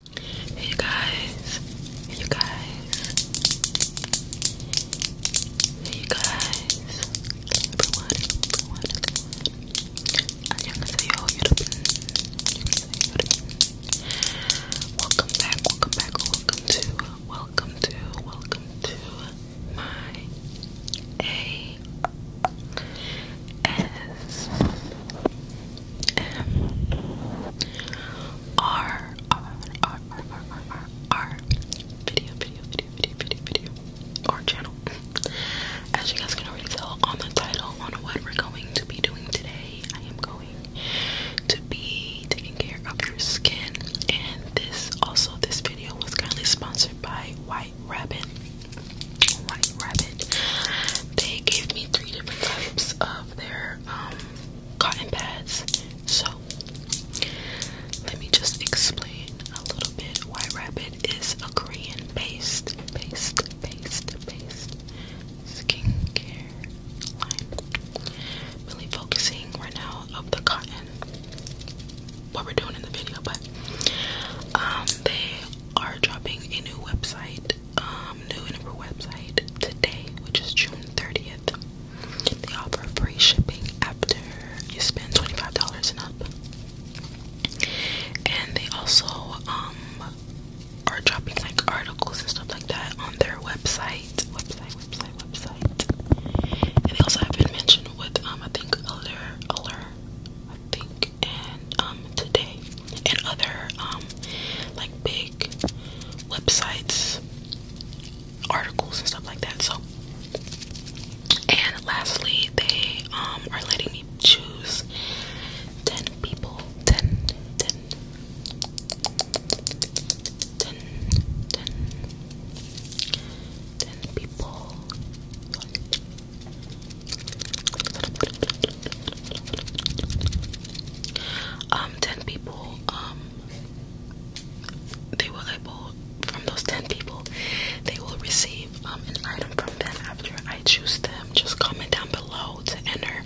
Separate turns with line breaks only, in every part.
Hey guys, hey guys, hey guys, everyone, everyone, 안녕하세요 여러분. Welcome back, welcome back, welcome to, welcome to, welcome to my A S M R R R R R R R video video video video video video or channel. As you guys can already tell on the title on what we're going to be doing today, I am going to be taking care of your skin and this also this video was kindly sponsored by White Rabbit. White Rabbit. They gave me three different types of their um, cotton pads. So, let me just explain a little bit. why Rabbit is a Korean based, based, based, based skincare line. Really focusing right now of the cotton, what we're doing in the video, but um, they are dropping a new website um, new and website today, which is June 30th. They offer free shipping after you spend $25 and up. And they also um, are dropping like articles and stuff like that on their website. Website, website, website. And they also have been mentioned with um, I think Allure, Allure, I think, and um, today and other um, like big websites articles and stuff like that so and lastly they um, are letting me choose 10 people 10 people um, 10 people, um, they will able, from those 10 people, they will receive um, an item from them after I choose them. Just comment down below to enter.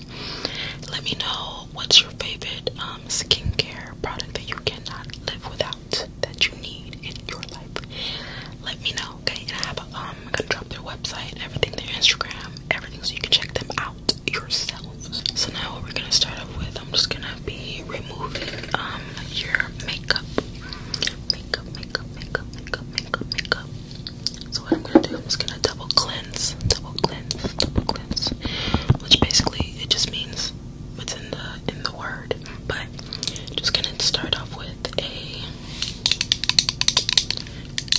Let me know what's your favorite um, skincare product that you cannot live without, that you need in your life. Let me know. Okay, I have um, gonna drop their website, everything, their Instagram, everything, so you can check them out yourself. So now what we're gonna start off with, I'm just gonna be removing um your makeup, makeup, makeup, makeup, makeup, makeup, makeup. So what I'm gonna do, I'm just gonna double cleanse, double cleanse, double cleanse, which basically it just means what's in the in the word. But just gonna start off with a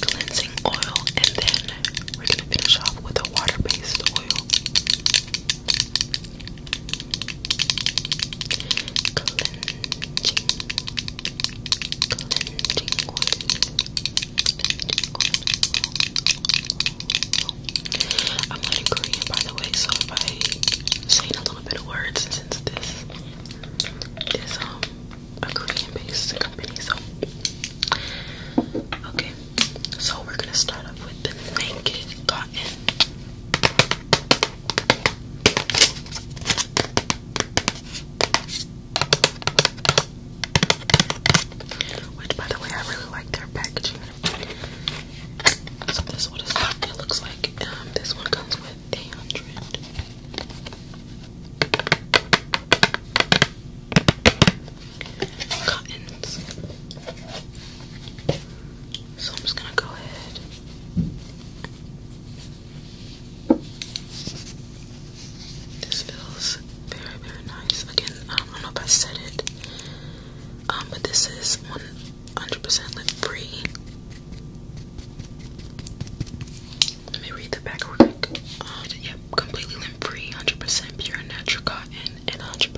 cleansing oil, and then we're gonna finish off with a water-based oil. Cleansing, cleansing oil, I'm learning Korean, by the way, so if I say a little bit of words, since this is um a Korean-based company, so okay. So we're gonna start off with the naked cotton. Which by the way I really like their packaging. So this is what it looks like. Um, this one comes with so I'm just gonna go ahead. This feels very, very nice. Again, I don't know if I said it, um, but this is 100% lip free. Let me read the back real quick. Um, yep, completely limp-free, 100% pure natural cotton, and 100%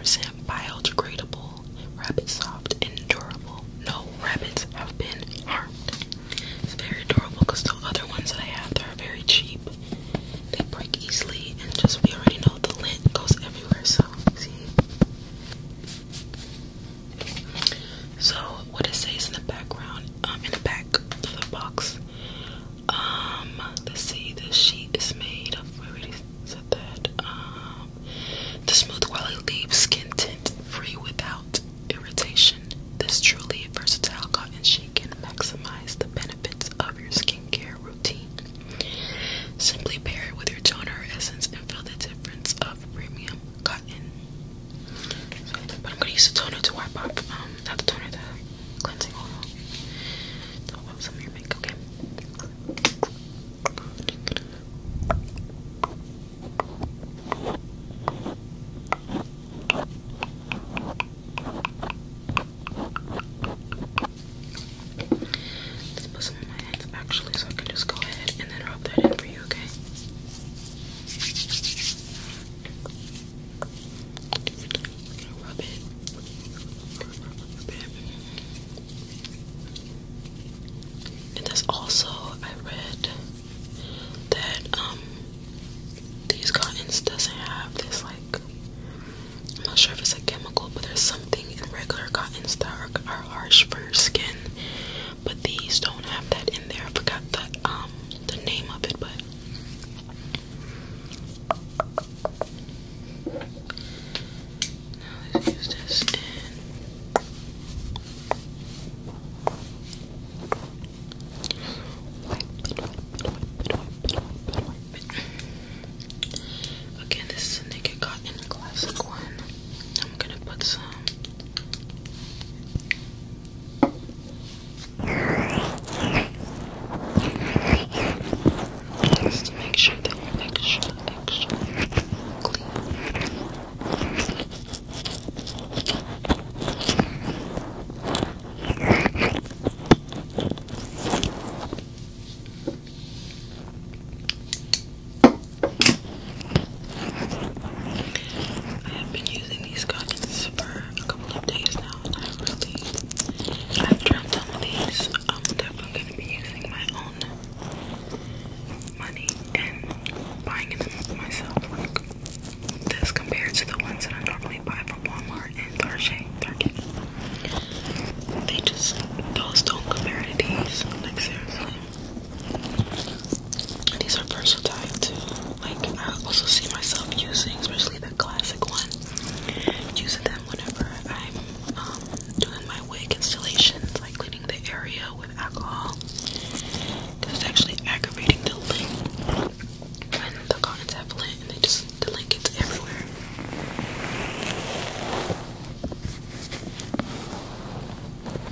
biodegradable, rabbit soft, and durable. No rabbits have been harmed. It's very durable because the other ones that I have, they're very cheap. They break easily, and just we already know the lint goes everywhere, so see. So what it says in the background, um, in the back of the box. Um, let's see. The sheet is made of. I already that. Um, the smooth quality leaves skin tint free without irritation. This truly versatile cotton sheet can maximize the benefits of your skincare routine. Simply pair it with your toner essence and feel the difference of premium cotton. But I'm gonna use the toner to wipe off, um, not the toner, the cleansing oil. To wipe off some of your makeup, okay? Let's put some on my hands actually, so I can just go ahead and then rub that in for you, okay? And there's also I read that um these cottons doesn't have this like I'm not sure if it's a chemical, but there's something in regular cottons that are harsh for your skin but these don't have that in there. I forgot the um the name of it, but now let's use this Again, this is a Naked Cotton classic one. I'm gonna put some just to make sure that you're extra, extra clean. I have been using these cottons for a couple of days now, and I really, I've tried some of these. I'm definitely gonna be using my own money and buying them myself, like this compared to the ones that I normally buy from Walmart and Target. Target. They just those don't compare to these, like seriously. These are personal versatile too. Like I also see myself using, especially the classic one, using them whenever I'm um, doing my wig installations, like cleaning the area with alcohol. Cause it's actually aggravating the link when the cottons have lint and they just the lint gets everywhere.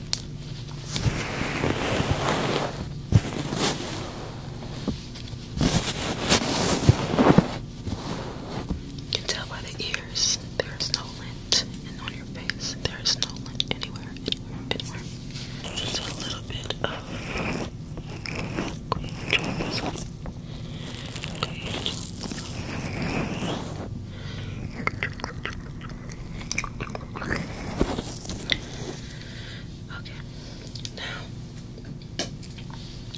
You can tell by the ears, there is no lint, and on your face, there is no lint anywhere, anywhere, anywhere. Just a little bit of Okay, now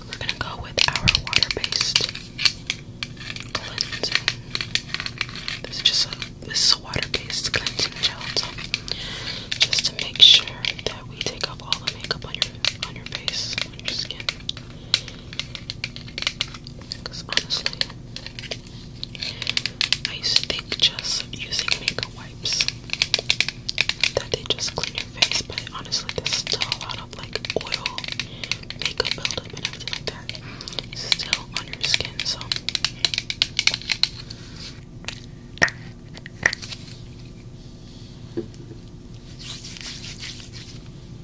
we're gonna go with our water-based cleansing. This is just a this is a water-based cleansing gel, so just to make sure that we take off all the makeup on your on your face, on your skin. Because honestly, I used to think just using makeup wipes that they just clean your face, but honestly, there's still a lot of like oil, makeup buildup, and everything like that still on your skin. So. A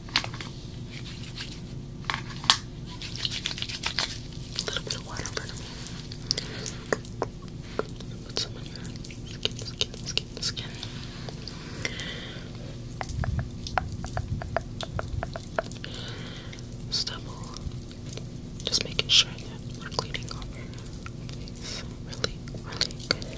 little bit of water Put some in here. Skin, skin, skin, skin. Stubble. Just making sure that we're cleaning off really, really good.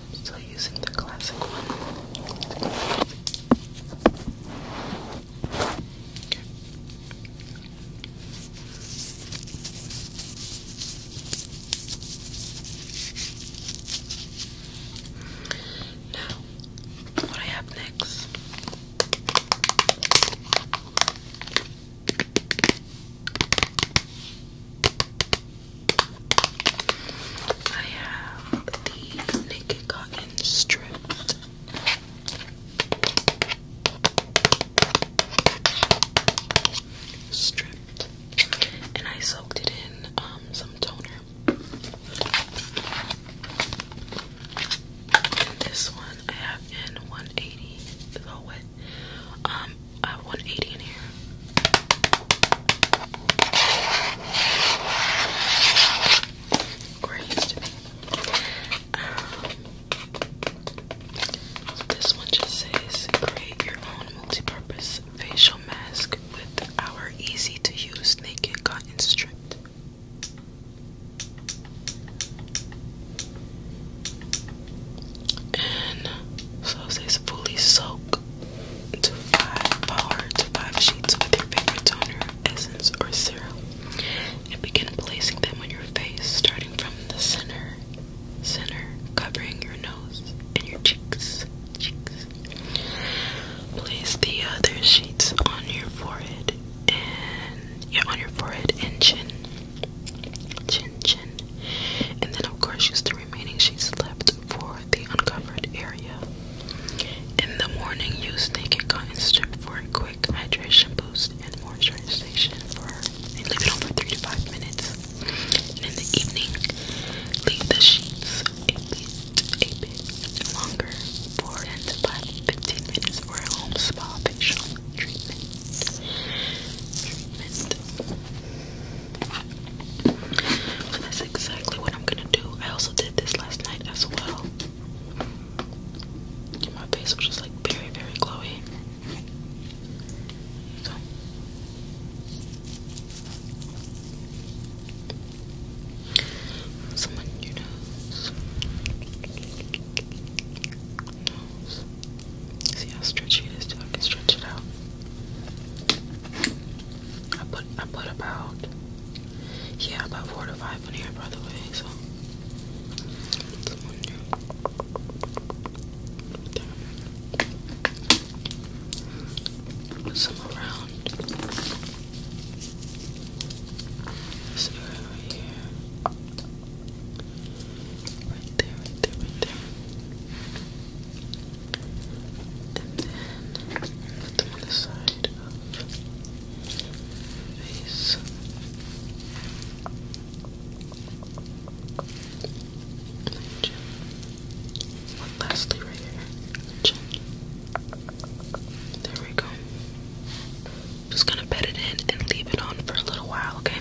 Still using the classic one. Okay. Now, what I have next I have the Naked Cotton Stripped. Stripped. And I soaked it in um, some toner. this one I have in 180, the wet um, I want 80 in here. Where it used um, to be. this one just says create your own multi-purpose facial mask with our easy-to-use naked cotton strip and so it says fully soak to sheets with your favorite toner, essence, or serum, and begin placing them on your face, starting from the center, center, covering your nose and your cheeks, cheeks. Place the other sheets on your forehead and on your forehead and chin. Chin Chin. And then, of course, used the remaining she slept for the uncovered area. In the morning, use naked cotton strip for a quick hydration boost and moisturization for leave it on for 3 to 5 minutes. And in the evening, leave the sheets a bit, a bit longer for 10 to 15 minutes for a home spa facial Treatment. So that's exactly what I'm gonna do. I also did this last night as well. my face was just like very, very glowy. See how stretchy it is too? I can stretch it out. I put I put about yeah, about four to five in here by the way, so Put some around this area right here there, there, there. then put them on the side of face. And lastly right here. There we go. Just gonna pet it in and leave it on for a little while, okay?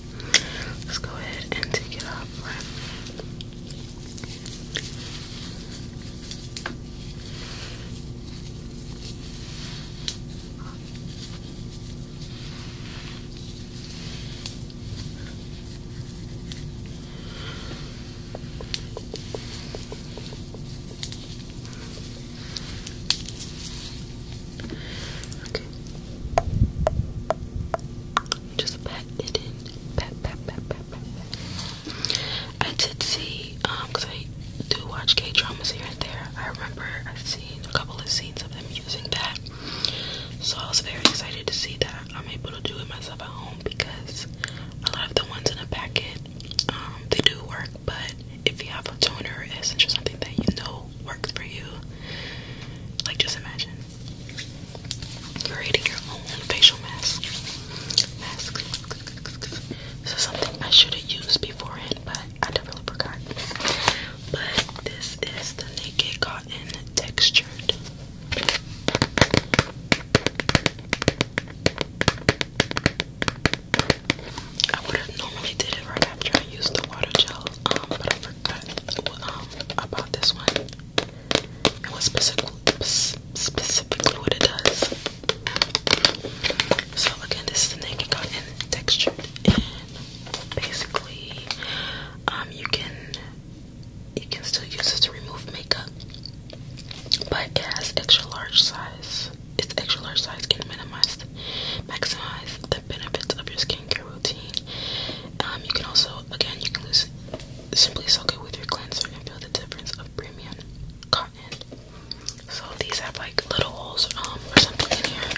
Let's go ahead and take it off, Okay. Just pat it in. Pat, pat, pat, pat, pat, I did see, um, because I do watch K dramas here and there. I remember I've seen a couple of scenes of them using that. So I was very excited to see that I'm able to do it myself at home because a lot of the ones in a packet, um, they do work, but if you have a toner essence or something that you know will for you. Like, just imagine creating your own facial mask. Masks. This something I should have used beforehand, but I definitely forgot. But this is the Naked Cotton Textured. I would have normally did it right after I used the water gel, um, but I forgot forgot um, about this one and what specific, specifically what it does. So again, this is the naked cotton textured, and basically, um, you can you can still use this to remove makeup, but it has extra large size. It's extra large size can minimize Maximize the benefits of your skincare routine. Um, you can also, again, you can simply soak it with your cleanser and feel the difference of premium cotton. So these have like little holes um, or something in here.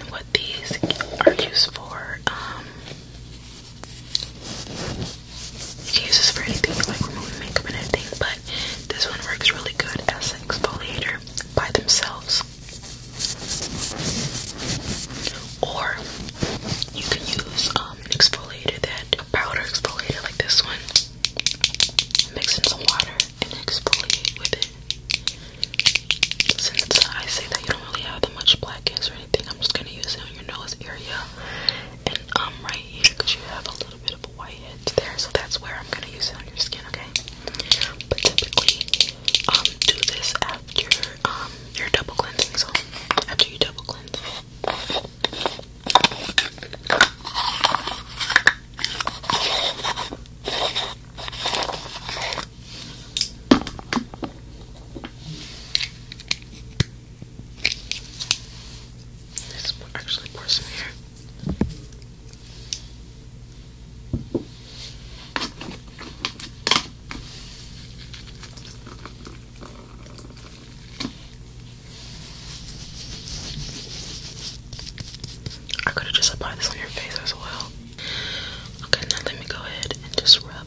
And what these are used for, um, you can use this for anything like removing makeup and everything, but this one works really good as an exfoliator by themselves. Or you can use um, an exfoliator that powder exfoliator like this one. Mix in some water and exfoliate with it. Since I say that you don't really have that much blackheads or anything, I'm just gonna use it on your nose area and um right here because you have a little bit of the white edge there, so that's where I'm gonna use it on your skin, okay? But typically, um, do this after um your double cleansing, so after you double cleanse. There's actually porcelain here. I could have just applied this on your face as well. Okay, now let me go ahead and just rub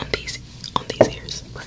on these on these ears, but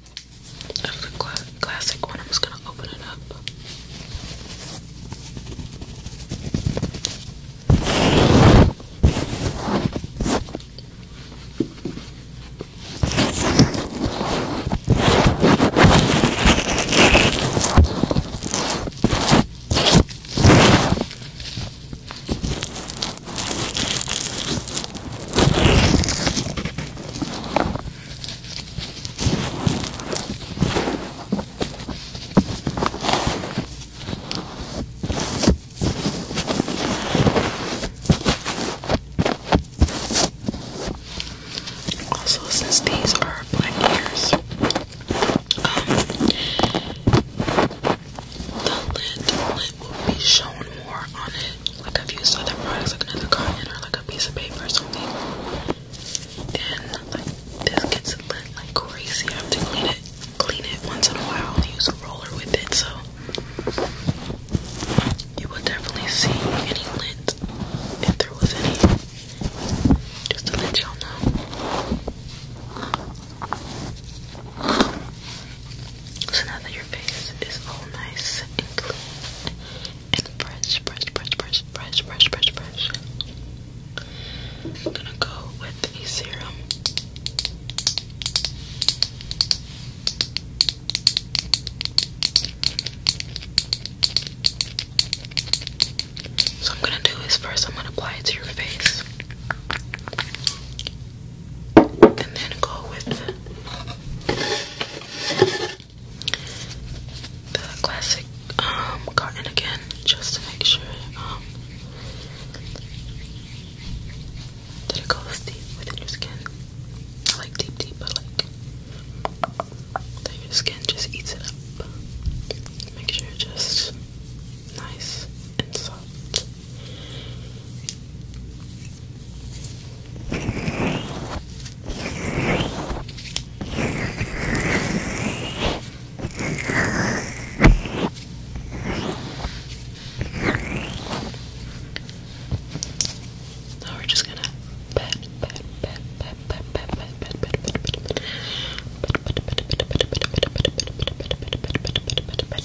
of the classic one. I'm just gonna open it up. Also, since these are black ears, um, the lid, will be shown more on it like I've used other products like another cotton or like a piece of paper or something and like this gets lit like crazy. I have to clean it clean it once in a while use a roller with it so you will definitely see any lint if there was any just to let y'all know. So now that your face is all nice and clean and fresh, fresh, fresh, fresh, fresh, fresh, fresh, fresh, I'm gonna go with a serum. So I'm gonna do is first I'm gonna apply it to your face and then go with the classic um, cotton again just to make sure um that it goes deep within your skin. I like deep deep but like that your skin just eats it up. Make sure it's just nice and soft. Now we're just gonna pet, pet, pet, pet, pet, pet, pet, pet, pet, pet, pet, pet, pet, pet, pet,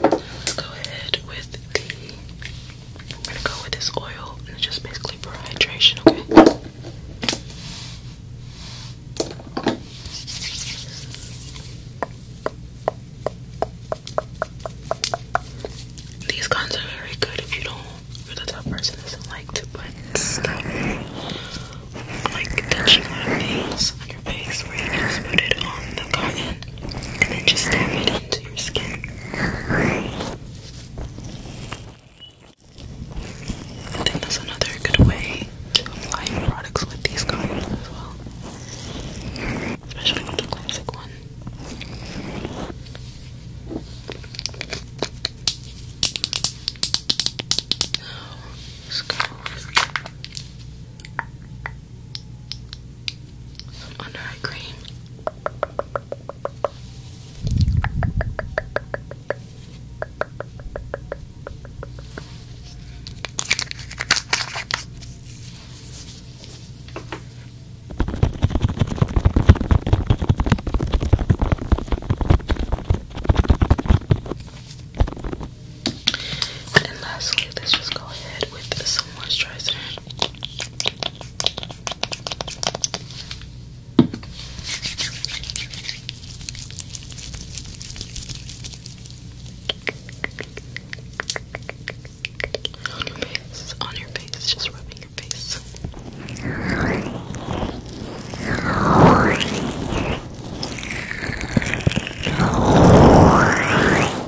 Let's go ahead with the. I'm gonna go with this oil and just basically for hydration, okay? These guns are very good if you don't, if the type person doesn't like to put stuff like touching on things face where you can just put it on the cotton and then just tap it into your skin. I think that's another good way to apply products with these cottons as well. Especially with the classic one. let's oh, go some under eye cream. And lastly, let's just go ahead with some moisturizer. On your face, on your face, just rubbing your face.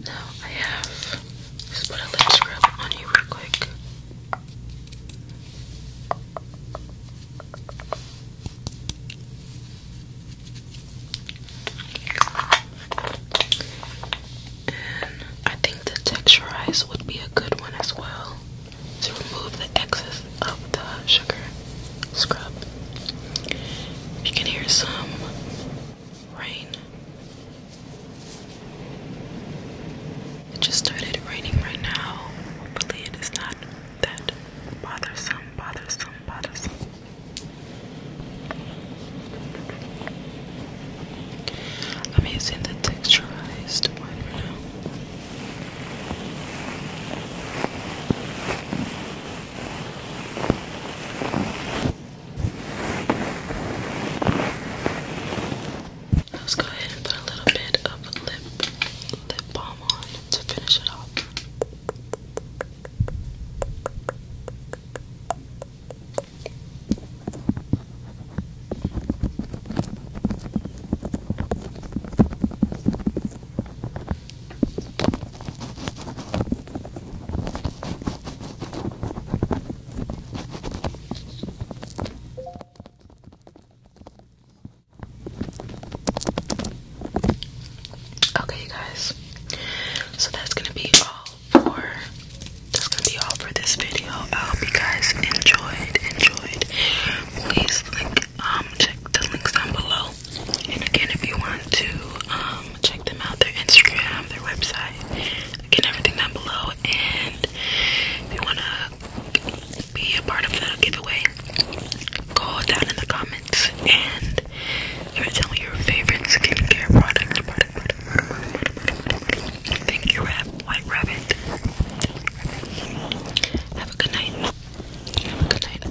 Now I have just put a lip scrub on you real quick. And I think the texturize would be a good one as well to remove the excess of the sugar scrub. You can hear some rain. It just started raining right now. Hopefully, it is not that bothersome, bothersome, bothersome. I'm using the texturized one for now. Let's go ahead and put a little bit of lip lip balm on to finish it off. Okay, you guys. So that's gonna be all for that's gonna be all for this video. I hope you guys enjoyed, enjoyed. Please like um check the links down below. And again if you want to um check them out, their Instagram, their website, get everything down below and if you wanna be a part of the giveaway, go down in the comments and tell me your favorite skincare product Thank you, Rab White Rabbit. Have a good night. Have a good night.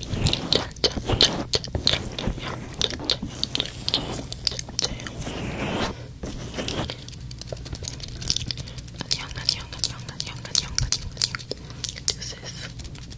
Deuces.